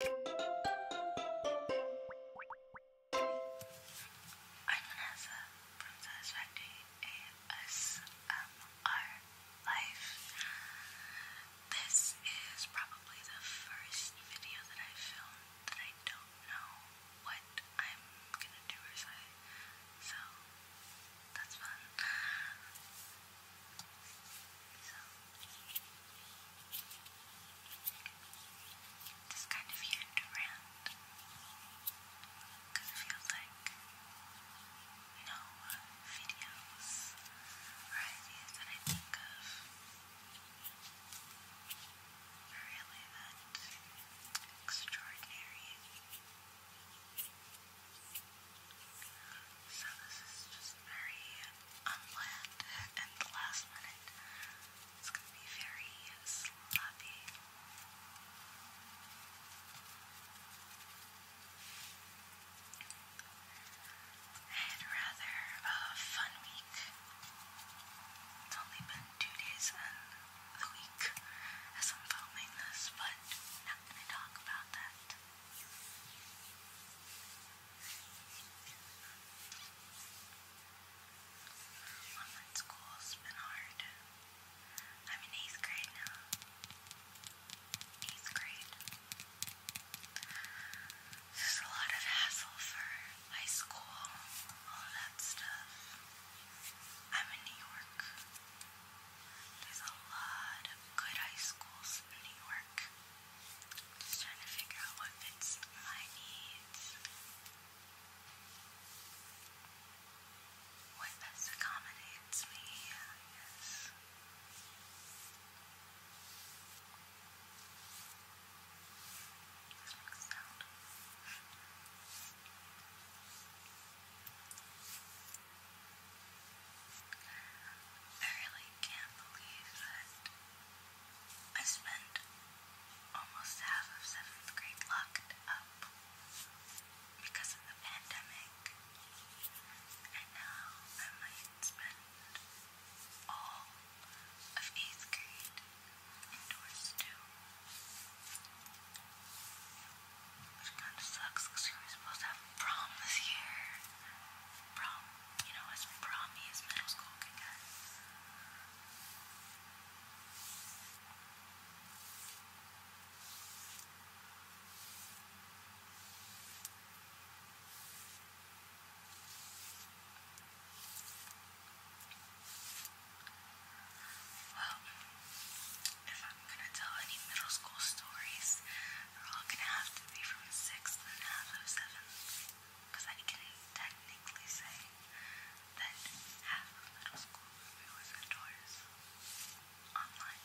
I'm Vanessa from Satisfactory ASMR Life. This is probably the first video that I filmed that I don't know what I'm gonna do or say, so that's fun. So, this kind of year around it feels like no uh, videos or ideas that I think of are really that extraordinary. So this is just very unplanned and last minute. It's gonna be very sloppy. And rather a fun week. It's only been two days in the week as I'm filming this, but not gonna talk about that. Online school's been hard. I'm in eighth grade now. Eighth grade. There's a lot of hassle for high school, all that stuff. I'm in New York. There's a lot of good high schools in New York. just trying to figure out what fits my needs. What best accommodates me, I I really can't believe that I spent almost half of seventh grade locked up because of the pandemic, and now I might spend all of eighth grade indoors too. Which kind of sucks because we are supposed to have prom this year. Prom, you know, as promy as middle school can get. Well, if I'm gonna tell any middle school stories, they're all gonna have to be from sixth and half of seventh, I can technically say that half of middle school was indoors, online.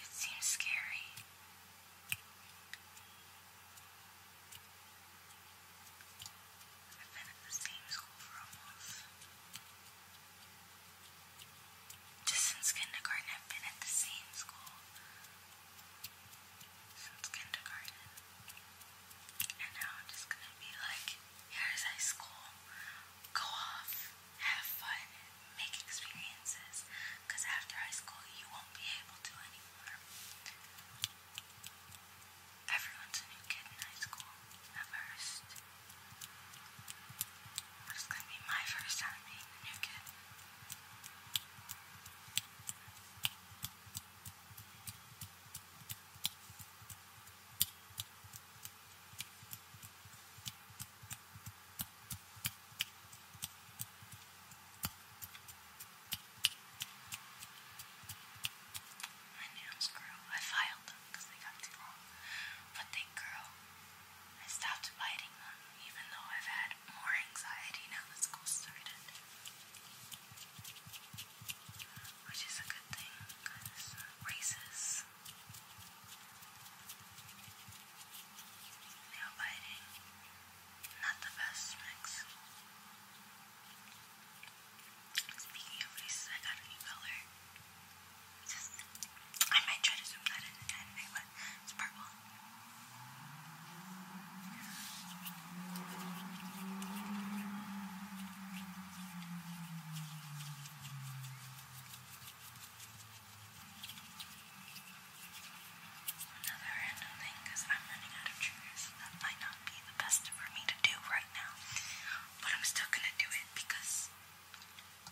It seems scary. I've been at the same school for almost just since kindergarten, I've been at the same school since kindergarten. And now I'm just gonna be like, here's high school. Go off, have fun, make experiences. Because after high school, you won't be able to anymore. Everyone's a new kid in high school at first. But it's gonna be my first time being the new kid. My nails grew. I filed because they got too long. But they grow. I stopped biting them, even though I've had more anxiety now that school started. Which is a good thing, because races. Nail biting, not the best mix. Speaking of laces, I got a new color. I might try to zoom that in it's purple. Another random thing, I'm running out of triggers, that might not be the best for me to do right now. But I'm still gonna do it because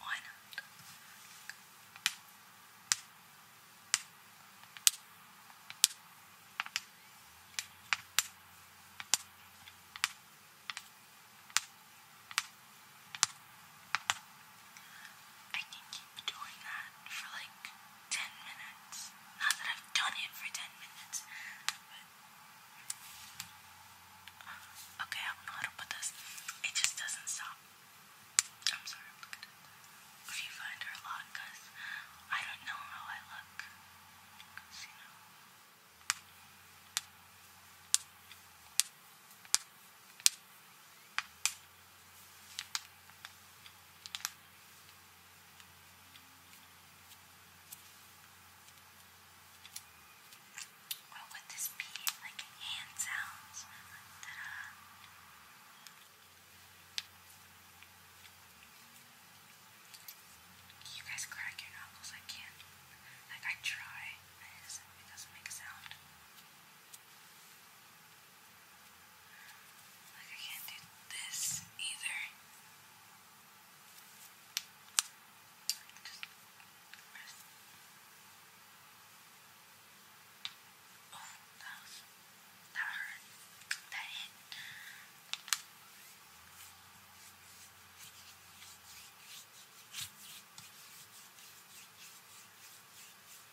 why not? I can keep doing that for like 10 minutes. Not that I've done it for 10 minutes, Okay, I don't know how to put this. It just doesn't stop. I'm sorry, i You find her a lot I don't know how I look. What would this be? Like hand sounds? You guys crack your knuckles, I can't. Like I try, it doesn't make a sound. Like, I can't do this either. Oh, that was. That hurt. That hit.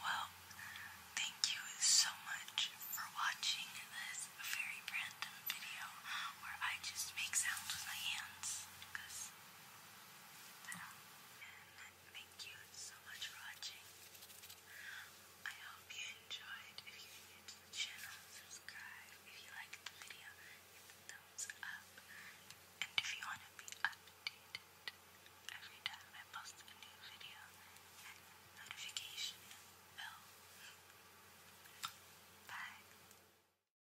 Well, thank you so much for watching this very random video where I just make sounds with my hands thank you so much for watching. I hope you enjoyed. If you're new to the channel, subscribe. If you liked the video, hit the thumbs up. And if you want to be updated every time I post a new video, hit the notification bell. Bye.